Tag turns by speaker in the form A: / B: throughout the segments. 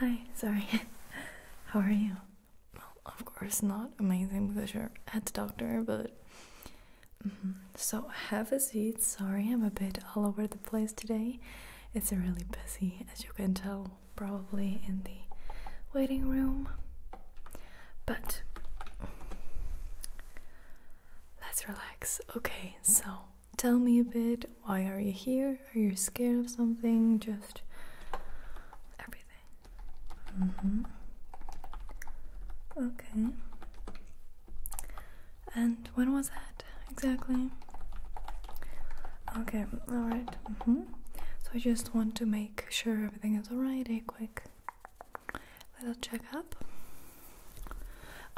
A: Hi, sorry. How are you? Well, of course, not amazing because you're at the doctor, but. Mm-hmm. So, have a seat. Sorry, I'm a bit all over the place today. It's really busy, as you can tell, probably in the waiting room. But Let's relax. Okay, so tell me a bit. Why are you here? Are you scared of something? Just everything. Mm-hmm. Okay. And when was that exactly? Okay, alright. Mm-hmm. So I just want to make sure everything is alright. A eh, quick little checkup.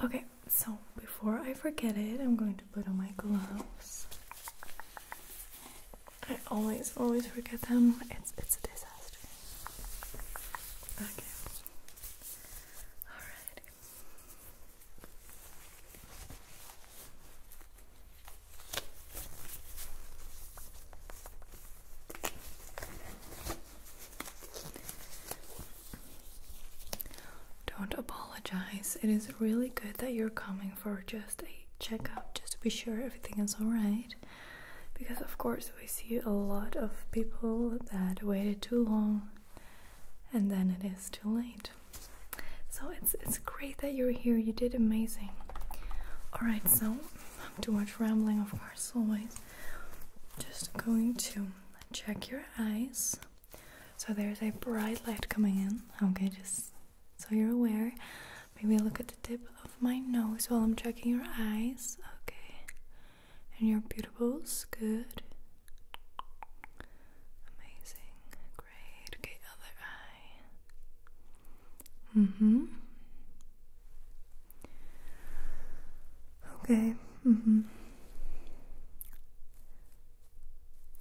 A: Okay, so before I forget it, I'm going to put on my gloves. I always, always forget them. It's it's a disaster. Okay. Alright. Don't apologize. It is really good that you're coming for just a checkup just to be sure everything is alright. Because, of course, we see a lot of people that waited too long and then it is too late. So, it's, it's great that you're here. You did amazing. Alright, so I'm too much rambling, of course, always. Just going to check your eyes. So there's a bright light coming in. Okay, just so you're aware. Maybe look at the tip of my nose while I'm checking your eyes. Okay. And your pupils. Good. Amazing. Great. Okay, other eye. Mm hmm. Okay. Mm-hmm.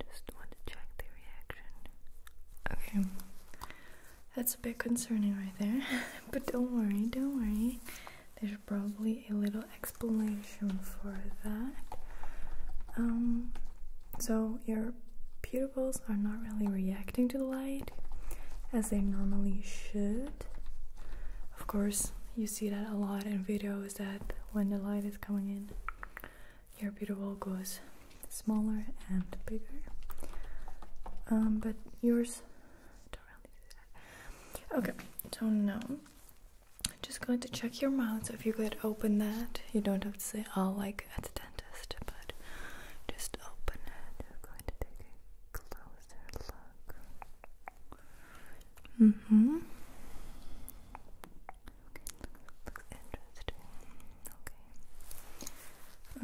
A: Just want to check the reaction. Okay. That's a bit concerning right there. but don't worry, don't worry. There's probably a little explanation for that. Um so your pupils are not really reacting to the light as they normally should. Of course, you see that a lot in videos that when the light is coming in, your beautiful goes smaller and bigger. Um, but yours okay. don't know. I'm just going to check your mouth. So if you could open that, you don't have to say oh like at the dentist, but just open it hmm. looks, interesting.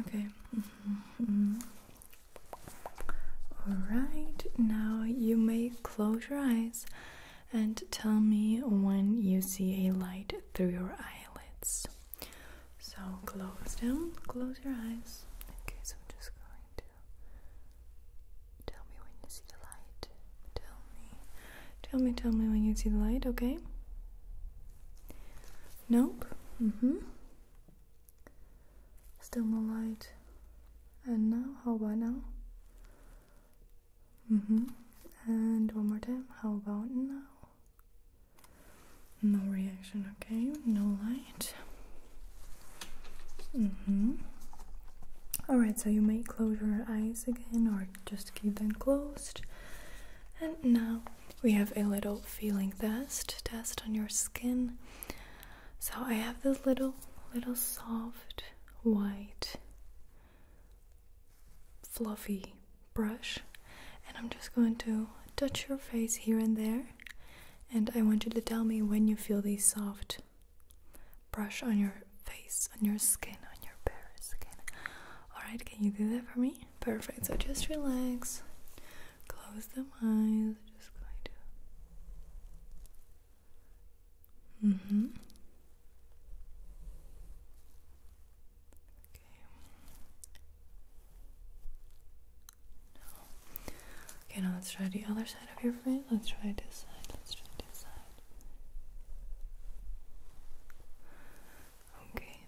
A: Okay. Okay. Mm-hmm. Mm-hmm. Alright, now you may close your eyes and tell me when you see a light through your eyelids. So close them, close your eyes. Okay, so I'm just going to tell me when you see the light. Tell me, tell me, tell me when you see the light, okay? Nope. Mm hmm. Still no light. And now, how about now? Mm hmm. And one more time, how about now? No reaction, okay? No light. Mm hmm. Alright, so you may close your eyes again or just keep them closed. And now we have a little feeling test, test on your skin. So I have this little, little soft, white, fluffy brush, and I'm just going to touch your face here and there and I want you to tell me when you feel these soft brush on your face, on your skin, on your bare skin. Alright, can you do that for me? Perfect. So just relax, close the eyes, just going to. Mm hmm. Okay. No. Okay, now let's try the other side of your face. Let's try this side. Let's try this side. Okay.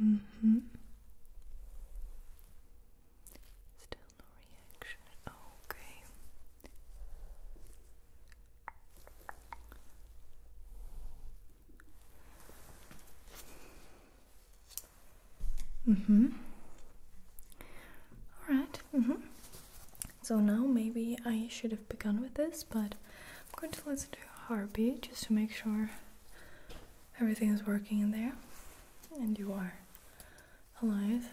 A: Mm hmm. Still no reaction. Okay. Mm-hmm. Alright, mm-hmm. So now maybe I should have begun with this, but I'm going to listen to a heartbeat just to make sure everything is working in there and you are alive.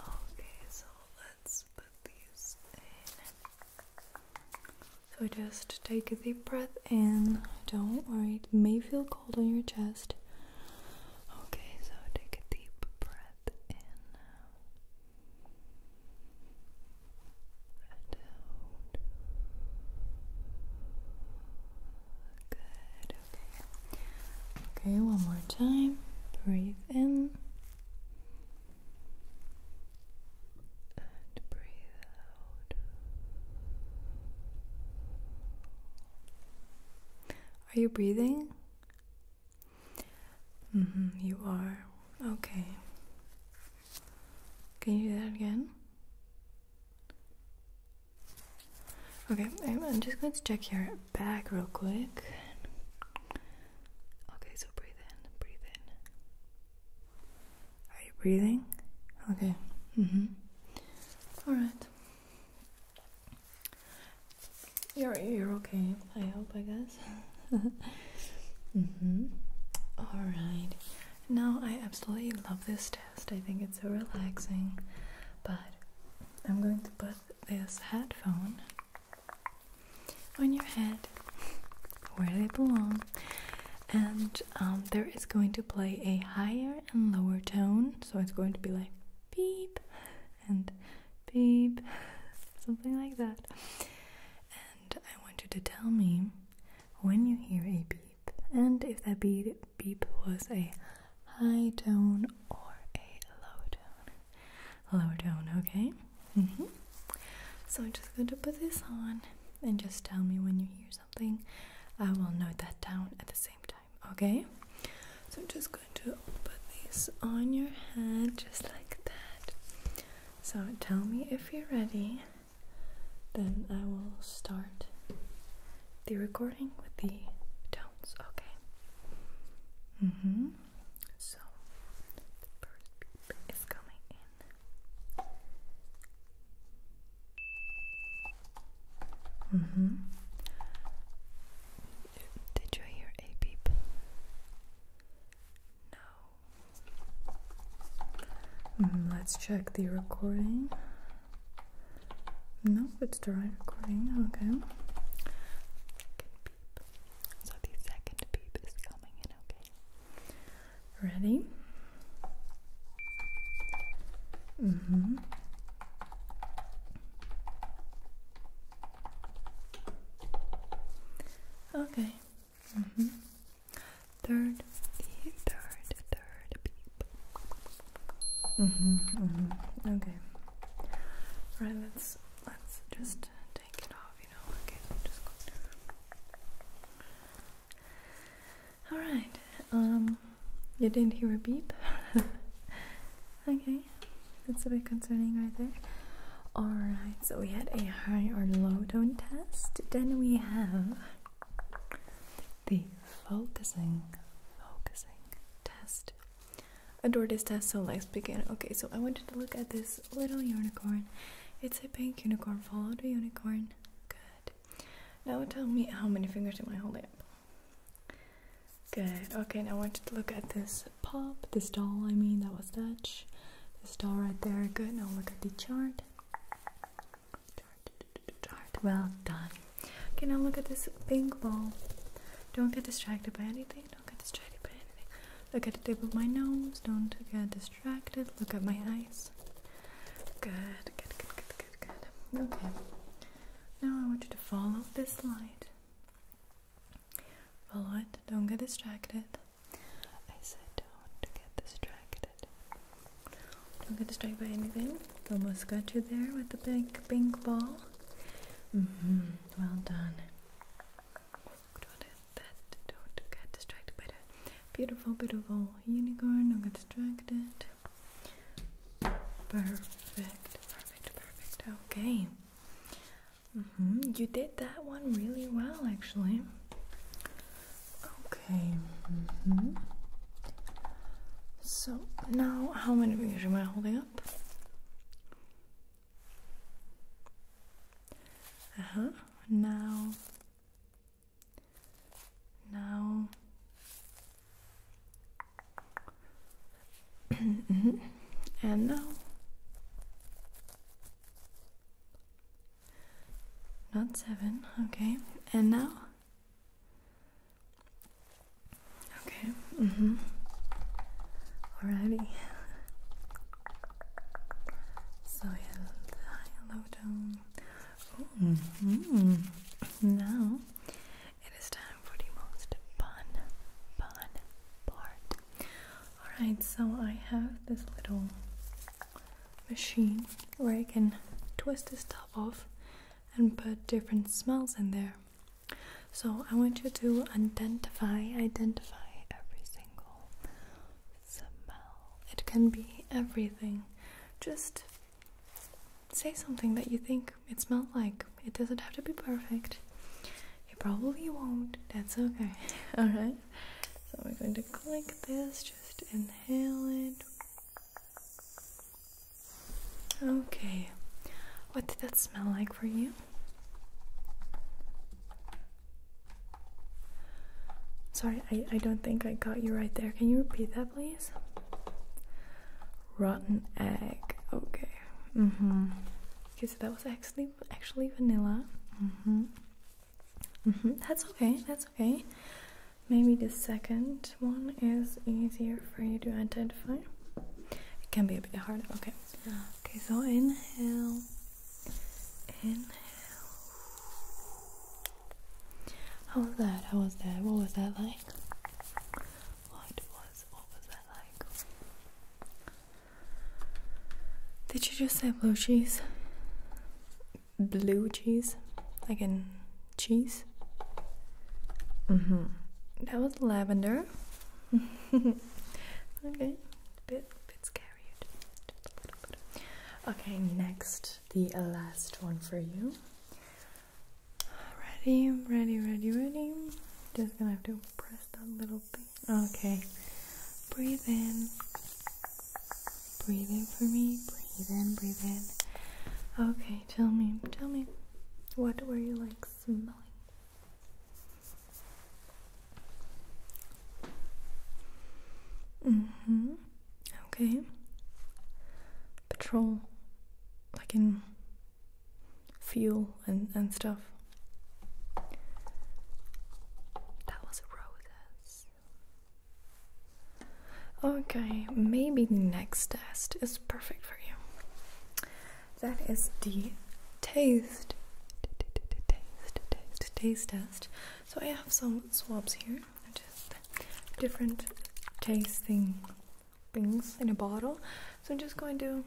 A: Okay, so let's put these in. So just take a deep breath in. Don't worry, it may feel cold on your chest. Okay, so take a deep breath in. Good, okay. Okay, one more time. Breathe in and breathe out. Are you breathing? Mm -hmm, you are. Okay. Can you do that again? Okay, I'm just going to check your back real quick. Okay, so breathe in, breathe in, are you breathing? Okay. hmm All right. You're you're okay. I hope. I guess. Mm-hmm. All right. Now I absolutely love this test. I think it's so relaxing. But I'm going to put this headphone on your head where they belong, and um, there is going to play a higher and lower tone, so it's going to be like beep and beep, something like that. And I want you to tell me when you hear a beep and if that beep, beep was a high tone or a low tone. lower tone, okay? Mm -hmm. So I'm just going to put this on and just tell me when you hear something. I will note that down at the same time, okay? So I'm just going to put this on your head just like that. So tell me if you're ready. Then I will start the recording with the tones, okay? Mm hmm. So the first beep is coming in. Mm -hmm. Did you hear a beep? No. Mm, let's check the recording. No, it's the right recording. Okay. So the second beep is coming in, okay? Ready? Mm hmm. Okay. Mm hmm. Third, third, third beep. Mm hmm. Mm hmm. Okay. Right. Let's let's just take it off Alright, um, you didn't hear a beep? okay, that's a bit concerning right there. Alright, so we had a high or low tone test. Then we have the focusing, focusing test. Adore this test, so let's begin. Okay, so I wanted to look at this little unicorn. It's a pink unicorn. Follow the unicorn. Good. Now tell me how many fingers am I holding up? Good. Okay, now I want you to look at this pop, this doll, I mean, that was Dutch. This doll right there. Good. Now look at the chart. Chart, chart. Well done. Okay, now look at this pink ball. Don't get distracted by anything. Don't get distracted by anything. Look at the tip of my nose. Don't get distracted distracted. Look at my eyes. Good, good, good, good, good, good. Okay. Now I want you to follow this light. Follow it. Don't get distracted. I said don't get distracted. Don't get distracted by anything. Almost got you there with the big pink ball. Mm-hmm. Well done. Good that don't get distracted by the beautiful, beautiful unicorn. Don't get distracted. Perfect, perfect, perfect. Okay. Mm-hmm. You did that one really well, actually. Okay. Mm-hmm. So now, how many fingers am I holding up? Uh-huh. Now now mm-hmm. and now not seven, okay, and now okay, mm-hmm. Alrighty. So hello, hello dome. Mm-hmm. Now it is time for the most fun, fun part. Alright, so I have this little machine where I can twist this top off and put different smells in there. So I want you to identify, identify every single smell. It can be everything. Just say something that you think it smells like. It doesn't have to be perfect. It probably won't. That's okay. Alright? So I'm going to click this, just inhale it. Okay. What did that smell like for you? Sorry, I, I don't think I got you right there. Can you repeat that, please? Rotten egg. Okay. Mm-hmm. Okay, so that was actually actually vanilla. Mm-hmm. Mm-hmm. That's okay. That's okay. Maybe the second one is easier for you to identify. It can be a bit harder. Okay. Okay. So inhale. Inhale. How was that? How was that? What was that like? What was what was that like? Did you just say blue cheese? Blue cheese? Like in cheese? Mm-hmm. That was lavender. okay bit, bit scary. Okay, next, the last one for you. Ready, ready, ready, ready. Just gonna have to press that little bit. Okay, breathe in. Breathe in for me. Breathe in, breathe in. Okay, tell me, tell me, what were you like smelling? Mm-hmm. Okay. Patrol. I can feel and, and stuff. That was roses. Okay, maybe the next test is perfect for you. That is the taste, taste, taste, taste test. So I have some swabs here, just different tasting things in a bottle. So I'm just going to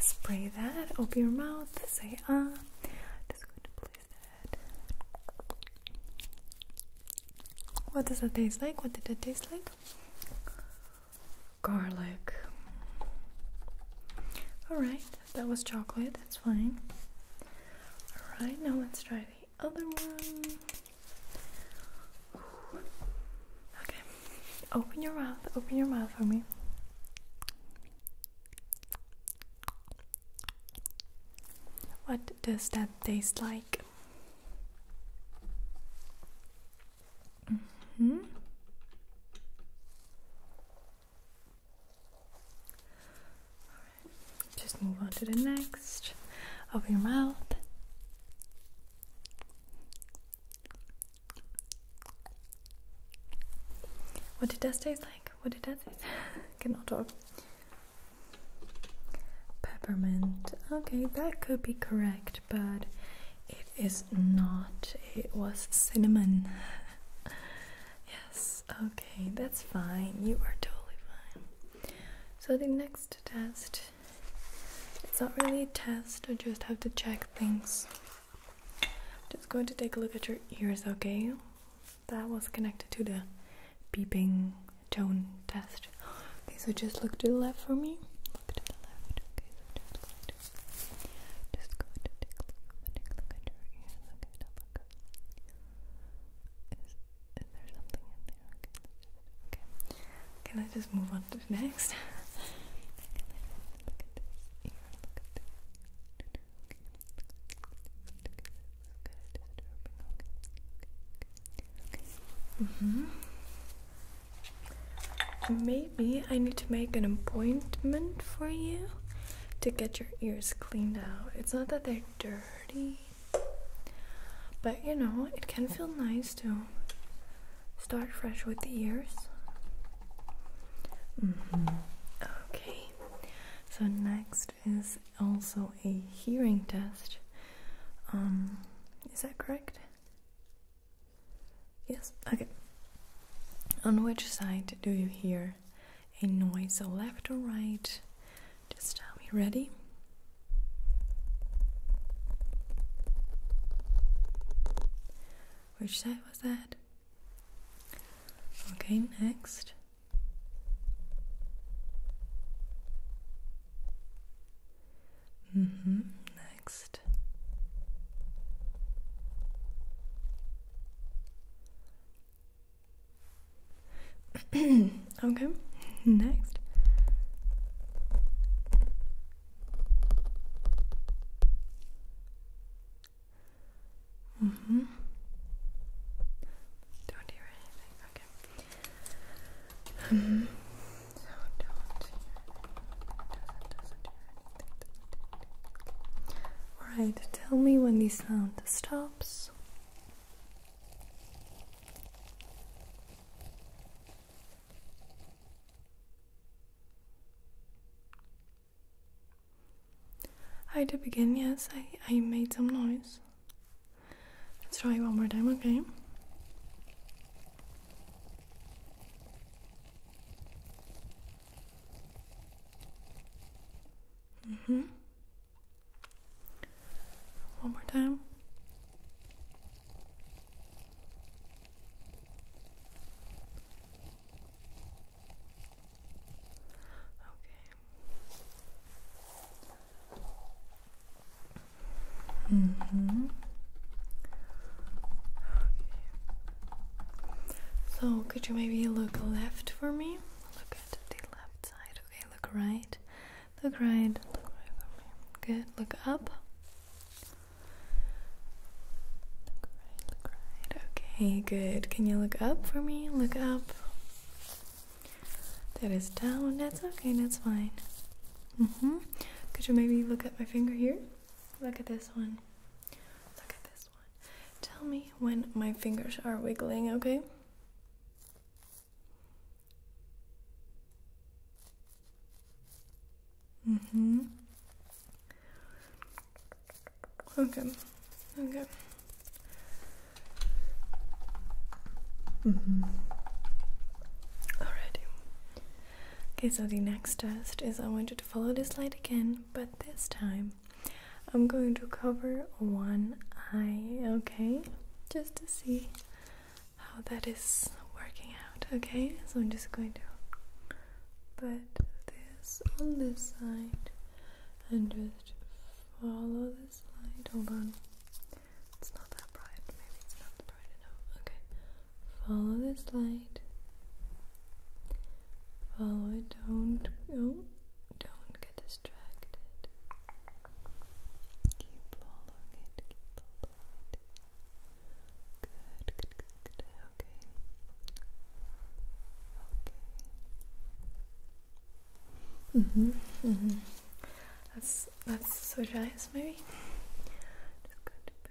A: spray that, open your mouth, say ah. Just going to place that. What does that taste like? What did that taste like? Garlic. Alright, that was chocolate, that's fine. Alright, now let's try the other one. Okay, open your mouth, open your mouth for me. What does that taste like? hmm just move on to the next. Open your mouth. What did that taste like? What it does taste? Cannot talk. Peppermint. Okay, that could be correct, but it is not, it was cinnamon. yes, okay, that's fine. You are totally fine. So, the next test it's not really a test, I just have to check things. just going to take a look at your ears, okay? That was connected to the beeping tone test. Okay, so just look to the left for me. Look to the left. Okay, just going to take a look take a look at your ears. Okay, now look. Is, is there something in there? Okay. Okay. let's just move on to next. okay, look at maybe I need to make an appointment for you to get your ears cleaned out. It's not that they're dirty, but you know, it can feel nice to start fresh with the ears. Mm-hmm. Okay, so next is also a hearing test. Um, is that correct? Yes, okay. On which side do you hear a noise? So left or right? Just tell me. Ready? Which side was that? Okay, next. Mm-hmm. Next. okay, next. Mm hmm Don't hear anything. Okay. Mm hmm. Alright, tell me when the sound stops. I did begin, yes, I, I made some noise. Let's try one more time, okay? Mm-hmm. One more time. Okay. Mm-hmm. Okay. So, could you maybe look left for me? Look at the left side. Okay, look right. Look right. Look right Good. Look up. Look right. Look right. Okay, good. Can you look up for me? Look up. That is down. That's okay. That's fine. hmm. Could you maybe look at my finger here? Look at this one. Look at this Tell me when my fingers are wiggling, okay? hmm. Okay. Okay. hmm. Alrighty. Okay, so the next test is I want you to follow this light again but this time I'm going to cover one eye, okay? Just to see how that is working out, okay? So I'm just going to put this on this side and just follow this light. Hold on. It's not that bright. Maybe it's not bright enough. Okay. Follow this light. Follow oh, it. Don't oh, don't get distracted. Keep following it. Keep following it. Good. Good. Good. Okay. Okay. Mhm. Mm mhm. That's that's so let's maybe.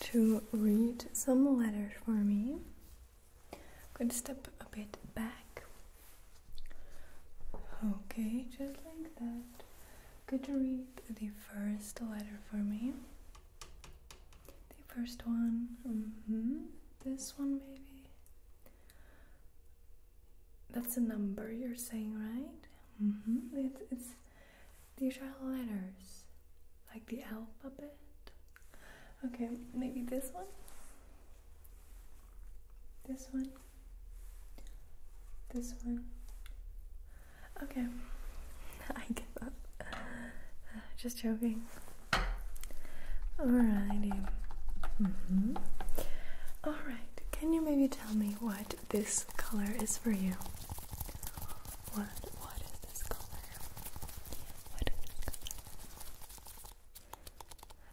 A: to read some letters for me. I'm going to step a bit back. Okay, just like that. Good to read the first letter for me? The first one. -hmm. This one, maybe. That's a number you're saying, right? -hmm. It's, it's these are letters, like the alphabet. Okay, maybe this one? This one? This one? Okay, I give up. Just joking. Alrighty. Mm-hmm. Alright, can you maybe tell me what this color is for you? What what is this color? What is this color?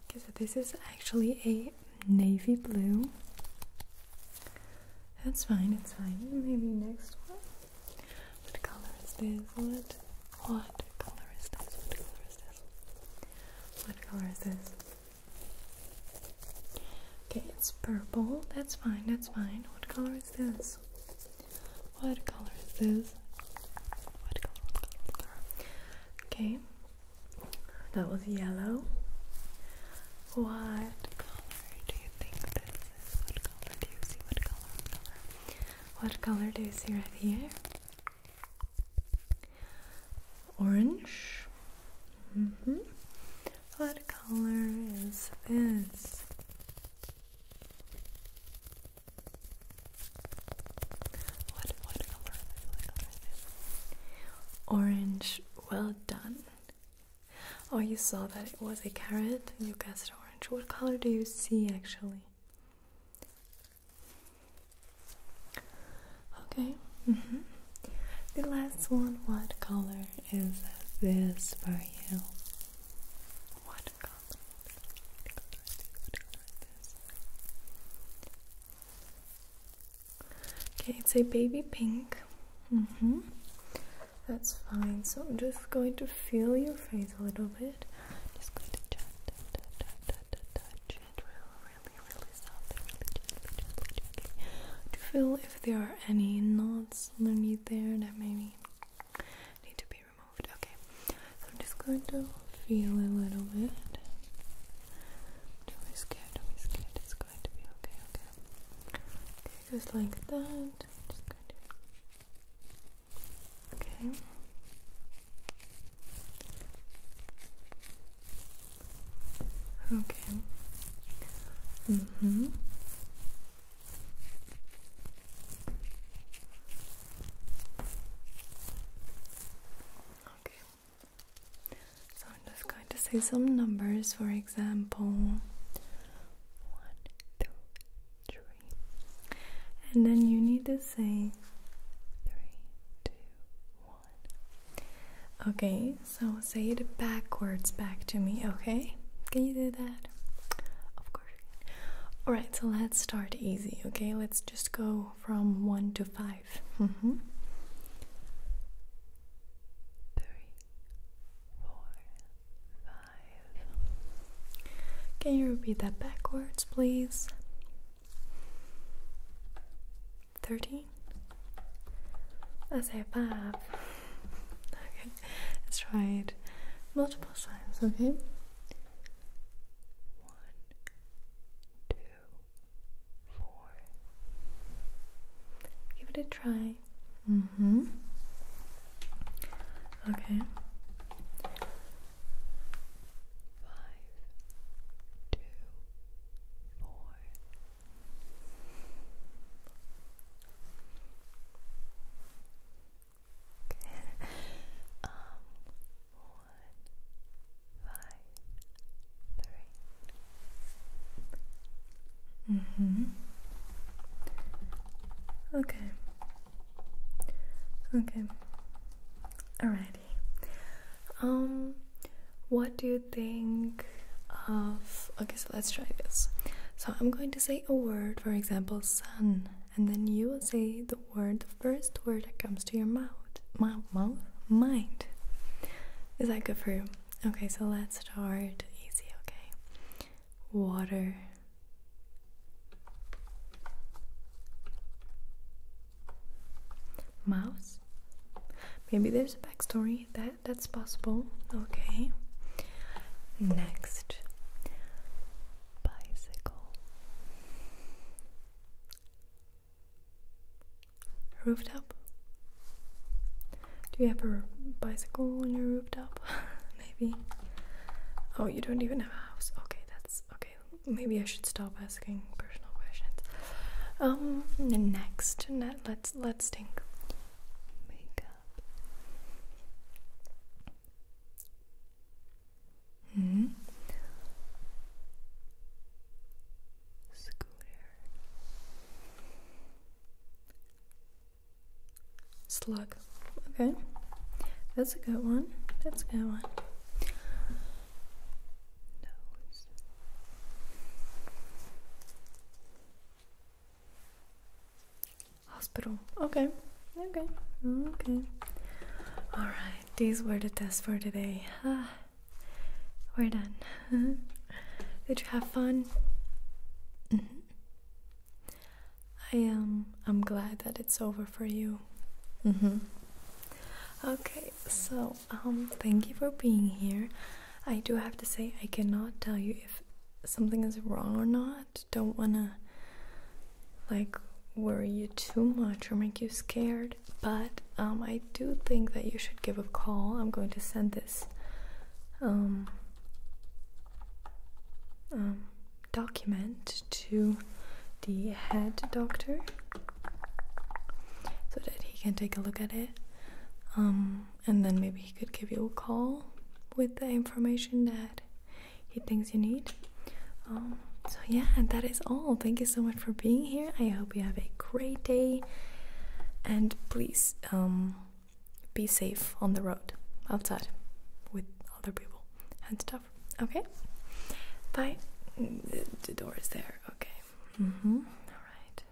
A: Okay, so this is actually a navy blue. That's fine, it's fine. Maybe next one. What color is this? What What color is this? What color is this? Okay, it's purple. That's fine, that's fine. What color is this? What color is this? What color? Okay, that was yellow. What color do you think this is? What color do you see? What color? What color, do you see right here? Orange. Mm -hmm. What color is this? What, what color, is this? Orange, well done. Oh, you saw that it was a carrot you guessed orange. What color do you see actually? Okay. Mm-hmm. The last one, what color is this for you? What color? Okay, it's a baby pink. That's fine. So I'm just going to feel your face a little bit. just going to touch, touch, touch, touch, touch it really, really, really softly, really gently, gently, gently. To feel if there are any knots underneath there that maybe need to be removed. Okay, I'm just going to feel a little bit. Don't be scared, don't be scared. It's going to be okay, okay. Okay, just like that. Just going to. Okay. Okay. Mm-hmm. Okay. So I'm just going to say some numbers, for example, one, two, three, and then you need to say three, two, one. Okay, so say it backwards back to me, okay? Can you do that? Of course Alright, so let's start easy, okay? Let's just go from one to five. Mm-hmm. Three, four, five. Can you repeat that backwards, please? Thirteen? Let's say five. Okay. Let's try it multiple times, okay? One, two, four. Give it a try. Mm hmm. Okay. Five, two, four um, one, five, three. Mm-hmm. Okay. Okay. Alrighty. Um, what do you think of okay, let's try this. So I'm going to say a word, for example, sun, and then you will say the word, the first word that comes to your mouth. Mouth, mouth, mind. Is that good for you? Okay, so let's start easy, okay? Water. Mouse. Maybe there's a backstory that that's possible. Okay. Next, bicycle. Rooftop. Do you have a bicycle on your rooftop? Maybe. Oh, you don't even have a house. Okay, that's okay. Maybe I should stop asking personal questions. Um, next, let's let's think. Makeup. Hmm? Scooter. Slug. Okay. That's a good one. That's a good one. Hospital. Okay. Okay. Okay. All right. These were the tests for today. Ah, we're done. Did you have fun? Mm-hmm. I am. Um, I'm glad that it's over for you. Mm -hmm. Okay. So um, thank you for being here. I do have to say I cannot tell you if something is wrong or not. Don't want to like worry you too much or make you scared, but um, I do think that you should give a call. I'm going to send this um, um, document to the head doctor so that he can take a look at it and then maybe he could give you a call with the information that he thinks you need. Um, so, yeah, that is all. Thank you so much for being here. I hope you have a great day and please um, be safe on the road outside with other people and stuff. Okay? Bye. Mm, the, door is there. Okay. Mm hmm. All right.